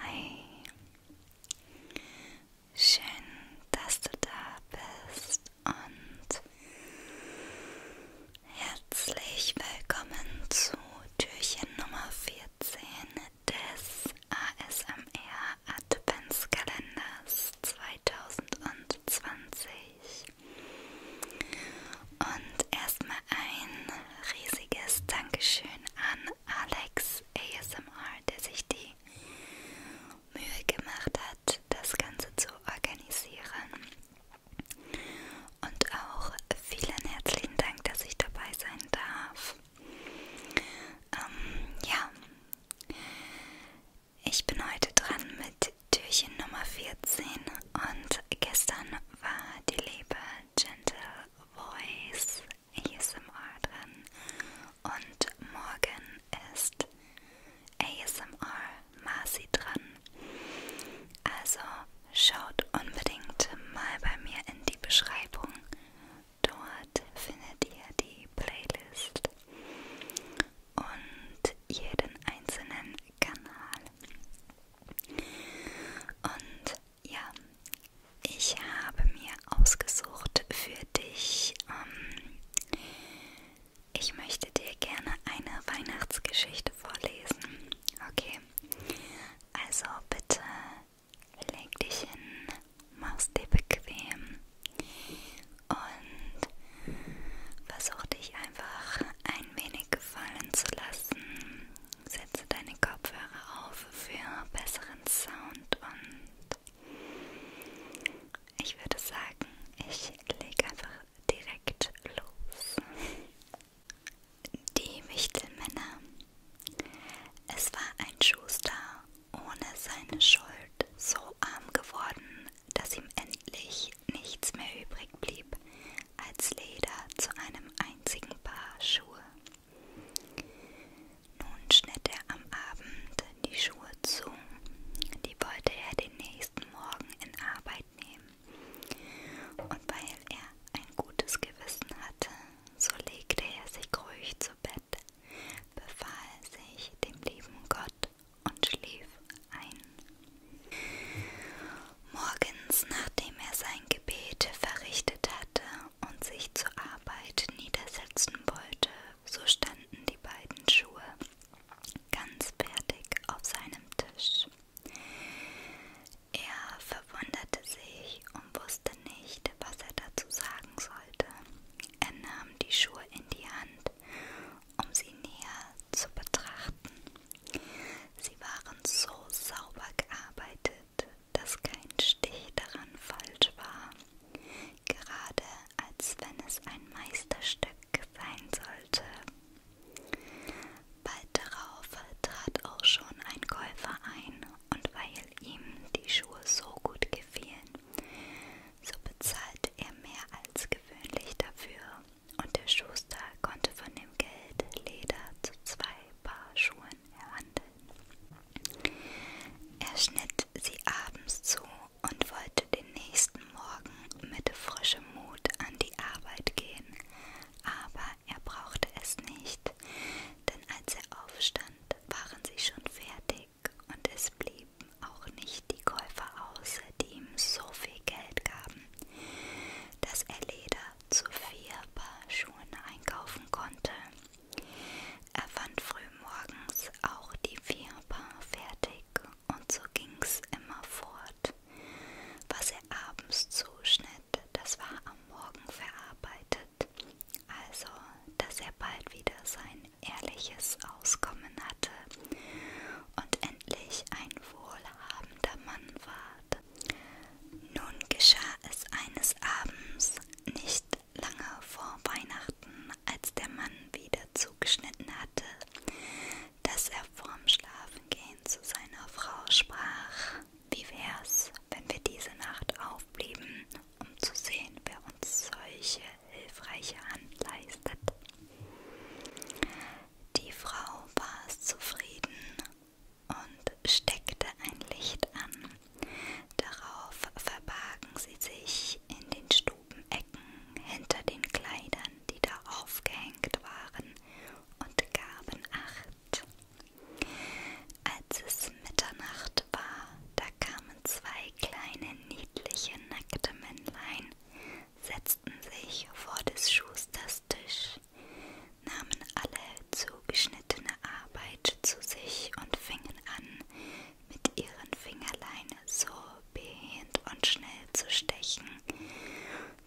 Hi, schön, dass du da bist und herzlich willkommen zu Türchen Nummer 14 des ASMR Adventskalenders 2020. Und erstmal ein riesiges Dankeschön an Alex ASMR, der sich die Mühe gemacht hat, das Ganze zu organisieren. Und auch vielen herzlichen Dank, dass ich dabei sein darf. Ähm, ja, ich bin heute dran mit Türchen Nummer 14 und gestern war die liebe Gentle Voice ASMR dran und morgen ist ASMR Marcy dran. Also schaut unbedingt mal bei mir in die Beschreibung. Dort findet ihr die Playlist und jeden einzelnen Kanal. Und ja, ich habe mir ausgesucht für dich. Ähm, ich möchte dir gerne eine Weihnachtsgeschichte vorlesen. Okay. Also bitte leg dich hin, mach's dir bequem und versuch dich einfach ein wenig gefallen zu lassen. Setze deine Kopfhörer auf für besseren Sound und ich würde sagen, ich lege einfach direkt los. Die Wichtelmänner. Es war ein Schuster ohne seine Schuld so arm geworden, dass ihm endlich nichts mehr übrig blieb als Leder zu einem einzigen Paar Schuhe. Nun schnitt er am Abend die Schuhe zu, die wollte er den nächsten Morgen in Arbeit nehmen. Und weil er ein gutes Gewissen hatte, so legte er sich ruhig zu Bett, befahl sich dem lieben Gott und schlief ein. Morgens, nachdem er sein Gebet verrichtet hatte und sich zur Arbeit niedersetzen wollte, so standen die beiden Schuhe ganz fertig auf seinem Tisch. Er verwunderte sich und wusste nicht, was er dazu sagen sollte. Er nahm die Schuhe in die Hand, um sie näher zu betrachten. Sie waren so sauber gearbeitet, dass kein Stich daran falsch war, gerade als wenn es ein Meisterstück sein sollte. Bald darauf trat auch schon ein Käufer ein, und weil ihm die Schuhe so gut gefielen, so bezahlte er mehr als gewöhnlich dafür, und der Schuster konnte von dem Geld Leder zu zwei Paar Schuhen erhandeln. Er schnitt sie abends zu und wollte den nächsten Morgen mit frischem Mut an die Arbeit gehen, aber er brauchte es nicht, denn als er aufstand, waren sie schon fertig Weg und es blieben auch nicht die Käufer außer, die ihm so viel Geld gaben, dass er Leder zu vier Paar Schuhen einkaufen konnte. Er fand frühmorgens auch die vier Paar fertig und so ging's immer fort. Was er abends zuschnitt, das war am Morgen verarbeitet also dass er bald wieder sein ehrliches Auskommen hatte und endlich ein wohlhabender Mann ward. Nun geschah es eines Abends, nicht lange vor Weihnachten, als der Mann wieder zugeschnitten hatte, dass er vorm Schlafengehen zu seiner Frau sprach: Wie wär's, wenn wir diese Nacht aufblieben um zu sehen, wer uns solche hilfreiche Hand leistet. Die Frau war zufrieden und steckte ein Licht an. Darauf verbargen sie sich in den Stubenecken hinter den Kleidern, die da aufgehängt waren, und gaben Acht. Als es Mitternacht Bett war, da kamen zwei kleine niedliche nackte Männlein, setzten sich vor des Schusters Tisch, nahmen alle zugeschnittene Arbeit zu sich und fingen an, mit ihren Fingerlein so behend und schnell zu stechen,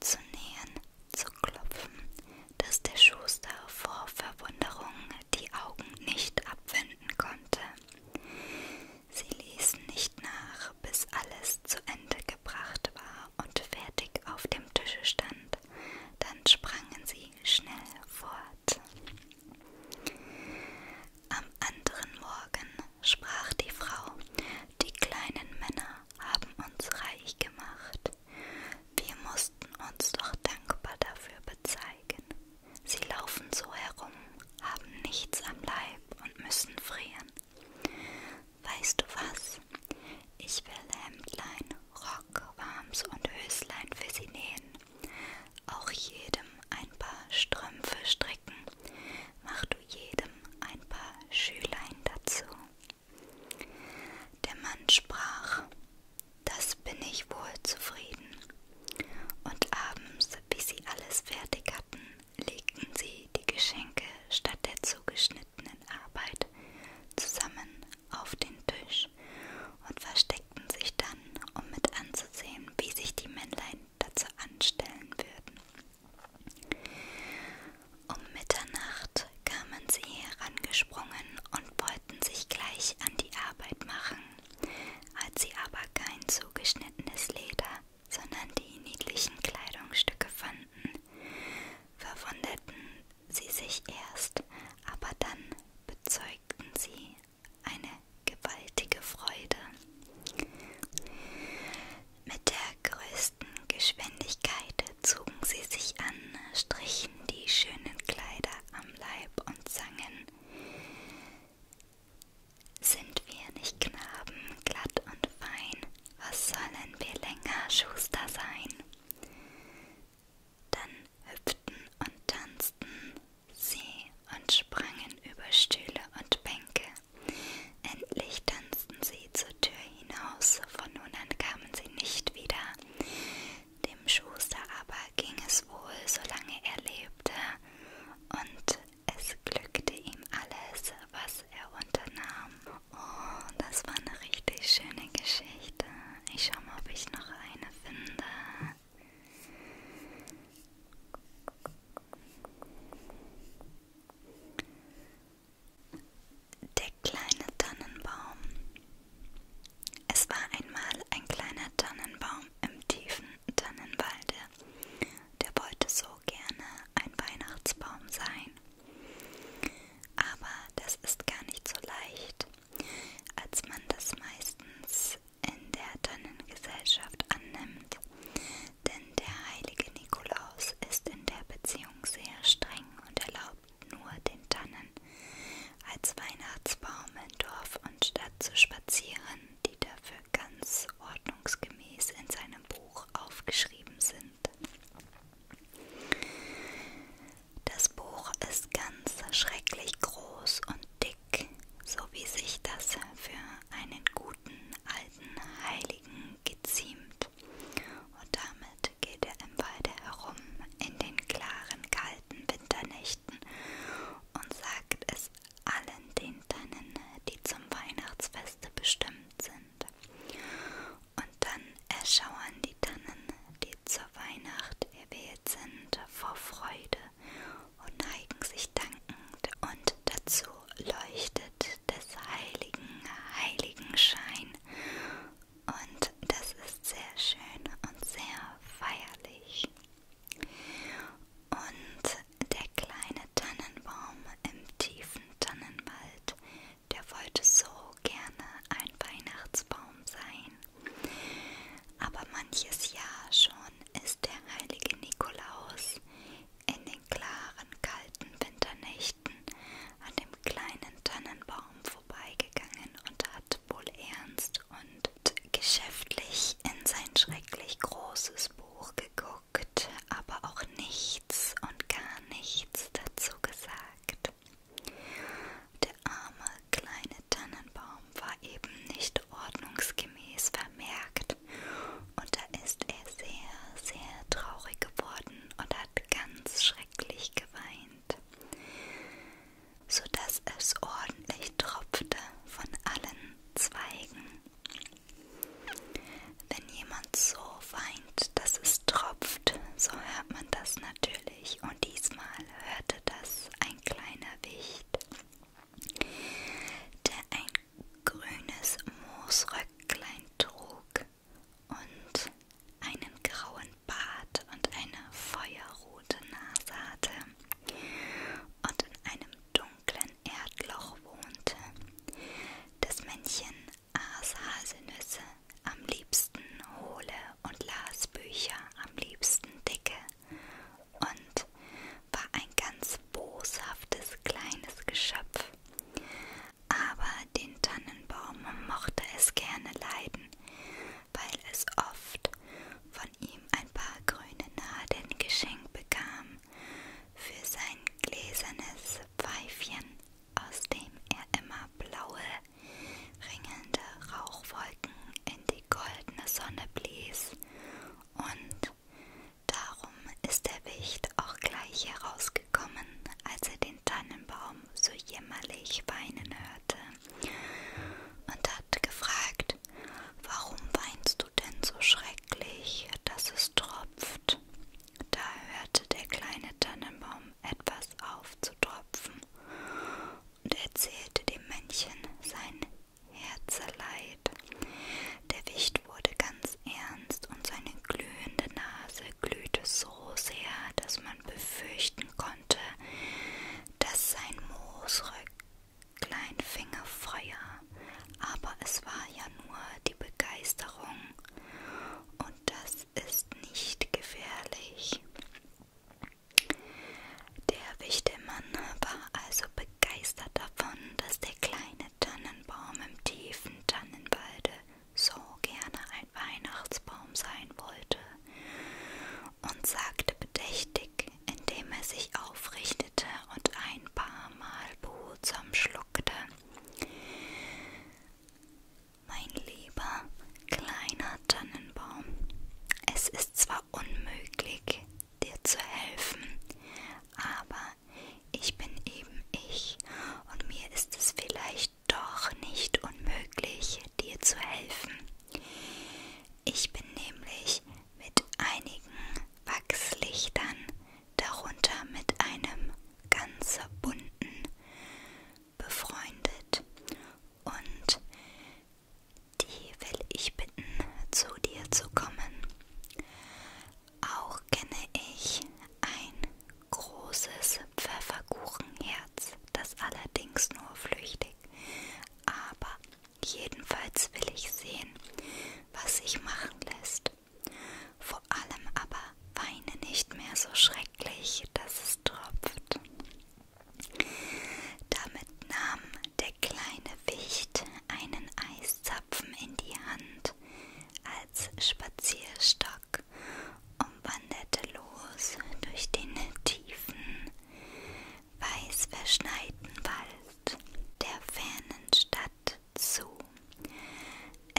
zu nähen, zu klopfen, dass der Schuster vor Verwunderung die Augen nicht abwenden konnte. Sie ließen nicht nach, bis alles zu Ende gebracht war und fertig auf dem Tische stand. Dann sprangen sie schnell fort. Am anderen Morgen sprach die Frau, die kleinen Männer haben uns reich gemacht. Wir mussten uns doch dankbar dafür bezeigen. Sie laufen so herum, haben nichts am Leib und müssen frieren. Weißt du was? Ich will Hemdlein, Rock, Warms und Höslein für sie nähen. Auch jedem ein paar Strümpfe stricken. Mach du jedem ein paar Schülein dazu. Der Mann sprach, das bin ich wohl zufrieden. Und abends, wie sie alles fertig hatten, legten sie die Geschenke statt der zugeschnittenen Arbeit zusammen auf den Tisch und versteckten sich dann, um mit anzusehen, wie sich die Männlein dazu anstellen würden. Um Mitternacht kamen sie herangesprungen und wollten sich gleich an die Arbeit machen, als sie aber kein zugeschnittenes Leder, sondern die niedlichen Kleidungsstücke fanden, verwunderten sie sich erst, aber dann bezeugten sie eine gewaltige Freude. Mit der größten Geschwindigkeit zogen sie sich an, strichen riefen die schönen Kleider am Leib und sangen Sind wir nicht Knaben, glatt und fein, was sollen wir länger Schuster sein? Dann hüpften und tanzten sie und sprangen über Stühle und Bänke. Endlich tanzten sie zur Tür hinaus, von nun an kamen sie nicht wieder. Dem Schuster aber ging es wohl, solange er lebte, und es glückte ihm alles, was er unternahm. Oh, das war eine richtig schöne Geschichte. Ich schau mal, ob ich noch eine finde. Der kleine Tannenbaum. Es war einmal ein kleiner Tannenbaum im tiefen Tannenwalde. Der wollte so gerne ein Weihnachtsbaum sein. Aber das ist gar nicht so leicht, als man das meistens in der Tannengesellschaft annimmt. Denn der heilige Nikolaus ist in der Beziehung sehr streng und erlaubt nur den Tannen als Weihnachtsbaum in Dorf und Stadt zu spazieren, die dafür ganz ordnungsgemäß in seinem Buch aufgeschrieben sind. Das Buch ist ganz schrecklich groß und dick, so wie sich das für einen guten alten Heiligen geziemt. Und damit geht er im Walde herum in den klaren, kalten kalten Winternächten und sagt es allen den Tannen, die zum Weihnachtsfeste bestimmt sind. Und dann erschauern die Tannen, die zur Weihnacht erwählt sind, vor Freude und neigen sich dankend und dazu leuchtet des heiligen, heiligen Schein und das ist sehr schön und sehr feierlich. Und der kleine Tannenbaum im tiefen Tannenwald, der wollte so gerne ein Weihnachtsbaum sein. Aber manches Jahr schon ist der heilige Nikolaus in den klaren, kalten Winternächten an dem kleinen Tannenbaum vorbeigegangen und hat wohl ernst und geschäftlich in sein schrecklich großes Buch geguckt, aber auch nichts und gar nichts dazu gesagt. Der arme kleine Tannenbaum war eben nicht ordnungsgemäß vermerkt und da ist er sehr, sehr traurig geworden und hat ganz schrecklich geweint sodass es ordentlich tropfte von allen Zweigen. Wenn jemand so weint, dass es tropft, so hört man das natürlich und diesmal hörte das ein kleiner Wicht, der ein grünes Moosröcklein trug und einen grauen Bart und eine feuerrote Nase hatte und in einem dunklen Erdloch wohnte. Das Männchen aß Haselnüsse am liebsten hohle und las Bücher am liebsten dicke und war ein ganz boshaftes kleines Geschöpf. Aber den Tannenbaum mochte es gerne leiden weil es oft von ihm ein paar grüne Nadeln geschenkt bekam für sein gläsernes Pfeifchen, aus dem er immer blaue, ringelnde Rauchwolken in die goldene Sonne blies. Und darum ist der Wicht auch gleich herausgekommen, als er den den Tannenbaum so jämmerlich weinen hörte und hat gefragt, warum weinst du denn so schrecklich, dass es tropft? Da hörte der kleine Tannenbaum etwas auf zu tropfen und erzählte dem Männchen sein Herzeleid. Der Wicht wurde ganz ernst und seine glühende Nase glühte so so sehr, dass man befürchten konnte, dass sein Moosrück-Kleinfinger Feuer, aber es war ja nur die Begeisterung und das ist nicht gefährlich. Der Wichtelmann war also begeistert davon, dass der kleine Tannenbaum im tiefen Tannenwalde so gerne ein Weihnachtsbaum sein wollte und sagte bedächtig, indem er sich aufrichtete und ein paar Mal behutsam schluckte. Mein lieber kleiner Tannenbaum, es ist zwar unmöglich, dir zu helfen, aber ich bin eben ich und mir ist es vielleicht doch nicht unmöglich, dir zu helfen. Ich bin nämlich mit einigen Wachslichtern, darunter mit einem ganz bunten, befreundet und die will ich bitten, zu dir zu kommen. Auch kenne ich ein großes Pfefferkuchenherz, das allerdings nur flüchtig. Aber jedenfalls will ich sehen, was sich machen lässt. Vor allem aber weine nicht mehr so schrecklich, dass es tropft. Damit nahm der kleine Wicht einen Eiszapfen in die Hand als Spazierstock Park und wanderte los durch den tiefen, weiß verschneiten Wald der fernen Stadt zu.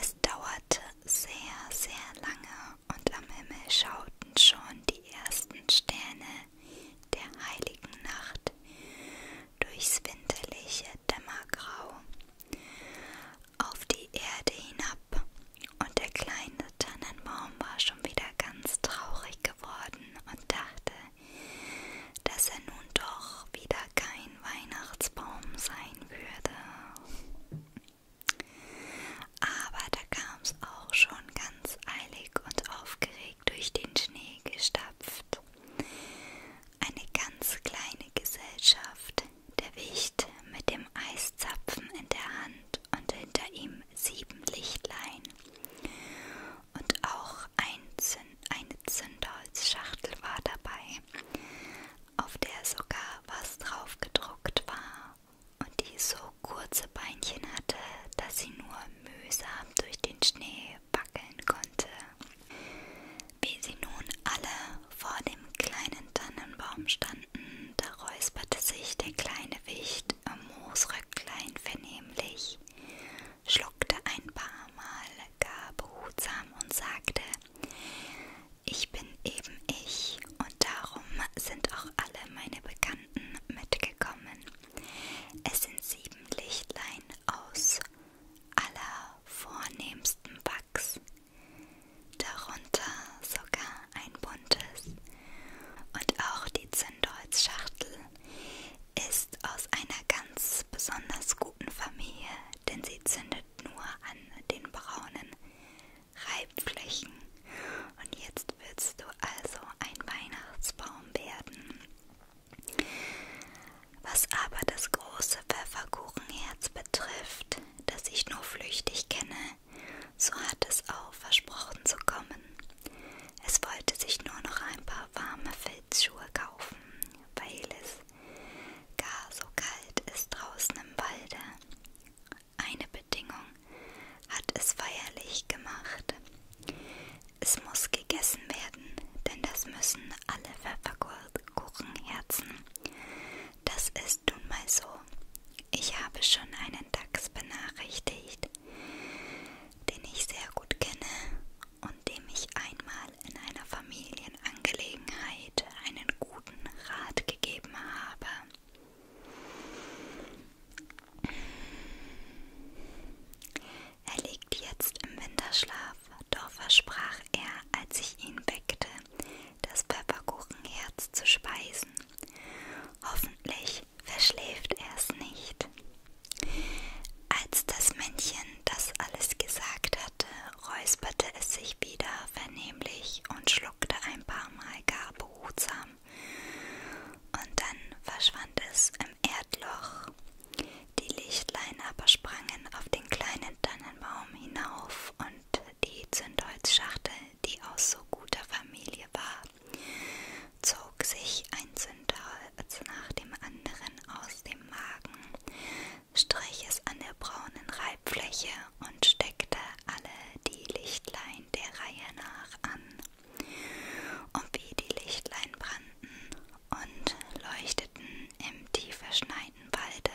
Es dauerte sehr, sehr lange und am Himmel schauten schon die ersten Sterne der heiligen Nacht durchs winterliche Dämmergrau. Auf die Erde hinab ab und der kleine Tannenbaum war schon wieder ganz traurig geworden und dachte, dass er nun doch wieder kein Weihnachtsbaum sein würde. Aber da kam's auch schon ganz eilig und aufgeregt durch den Schnee gestapft. Eine ganz kleine Gesellschaft, der Wicht mit dem Eiszapfen in der Hand und hinter ihm sieben Lichtlein und auch ein Zünd, eine Zündholzschachtel war dabei, auf der sogar was drauf gedruckt war und die so kurze Beinchen hatte, dass sie nur mühsam durch den Schnee wackeln konnte. Wie sie nun alle vor dem kleinen Tannenbaum standen, da räusperte sich der kleine Wicht am Moosröcklein vernehmlich, schluckte ein paar Mal gar behutsam und sagte, ich bin eben ich und darum sind auch alle meine Bekannten mitgekommen. Es sind sieben Lichtlein aus aller vornehmsten Wachs, darunter sogar ein buntes. Und auch die Zündholzschachtel ist aus einer ganz besonders guten Familie, denn sie zündet nur an den braunen Reibflächen. Und jetzt willst du also ein Weihnachtsbaum werden. Was aber das große Pfefferkuchenherz betrifft, das ich nur flüchtig kenne, so hat es auch versprochen zu kommen. Es wollte sich nur noch ein paar warme Filzschuhe kaufen, weil es gar so kalt ist draußen im Walde. Eine Bedingung hat es feierlich gemacht. Es muss gegessen werden, denn das müssen alle Pfefferkuchenherzen. Das ist nun mal so. Ich habe schon einen Dachs benachrichtigt, den ich sehr gut kenne und dem ich einmal in einer Familienangelegenheit einen guten Rat gegeben habe. Er liegt jetzt im Winterschlaf, doch versprach er, als ich ihn weckte, das Pfefferkuchenherz zu speisen. Hoffentlich verschläft er es nicht. Als das Männchen das alles gesagt hatte, räusperte es sich wieder vernehmlich und schluckte ein paar Mal gar behutsam. Und dann verschwand es im Erdloch. Die Lichtlein aber sprangen auf den kleinen Tannenbaum hinauf und Hand die Zündholzschachtel, die aus so guter Familie war, zog sich ein Zündholz nach dem anderen aus dem Magen, strich es an der braunen Reibfläche und steckte alle die Lichtlein der Reihe nach an. Und wie die Lichtlein brannten und leuchteten im tiefer Schneiden Rheinwalde.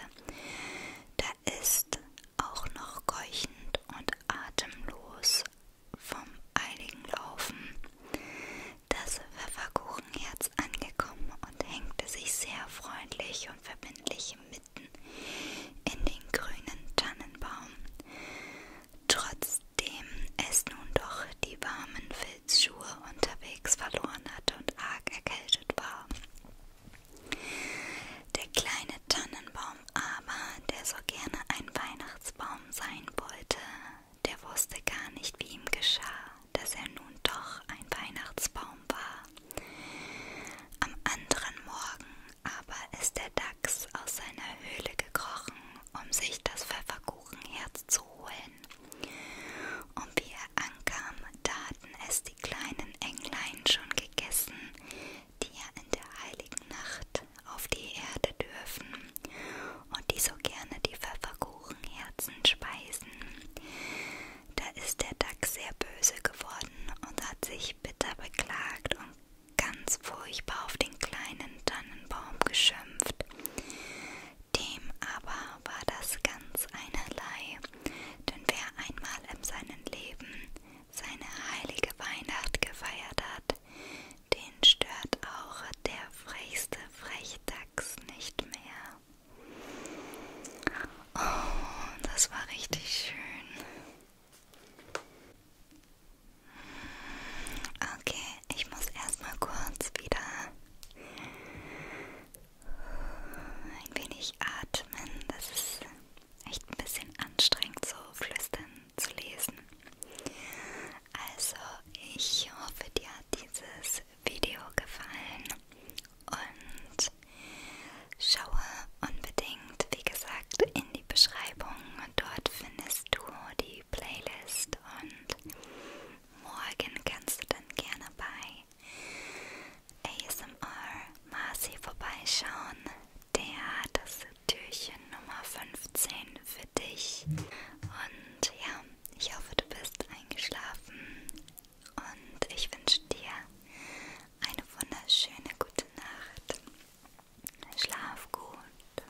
Da ist auch noch keuchend und atemlos vom eiligen Laufen das Pfefferkuchenherz angekommen und hängte sich sehr freundlich und verbindlich mitten in den grünen Tannenbaum. Trotzdem es nun doch die warmen Filzschuhe unterwegs verloren hatte und arg erkältet war. Der kleine Tannenbaum aber, der so gerne ein Weihnachtsbaum sein wollte, der wusste gar nicht, wie ihm geschah, dass er nun doch ein Weihnachtsbaum war. Am anderen Morgen aber ist der Dachs aus seiner Höhle gekrochen, um sich das Pfefferkuchenherz zu holen und wie er ankam, da hatten es die kleinen Englein schon gegessen, die ja in der heiligen Nacht auf die Erde dürfen und die so gerne die Pfefferkuchenherzen speisen. Da ist der Dachs sehr böse geworden und hat sich bitter beklagt und ganz furchtbar auf den kleinen Tannenbaum geschimpft, dem aber war das ganz einerlei, denn wer einmal in seinem Leben seine heilige Weihnacht gefeiert hat, den stört auch der frechste Frechdachs nicht mehr. Oh, das war richtig schön. Okay, ich muss erstmal kurz wieder ein wenig atmen. Das ist echt ein bisschen anstrengend, so flüstern zu lesen. Also, ich hoffe, dir hat dieses Video gefallen und schaue unbedingt, wie gesagt, in die Beschreibung. Dort findest du die Playlist und morgen kannst du dann gerne bei ASMR Marci vorbeischauen, der das Türchen Nummer 15 für dich. Und ja, ich hoffe, du bist eingeschlafen und ich wünsche dir eine wunderschöne gute Nacht. Schlaf gut.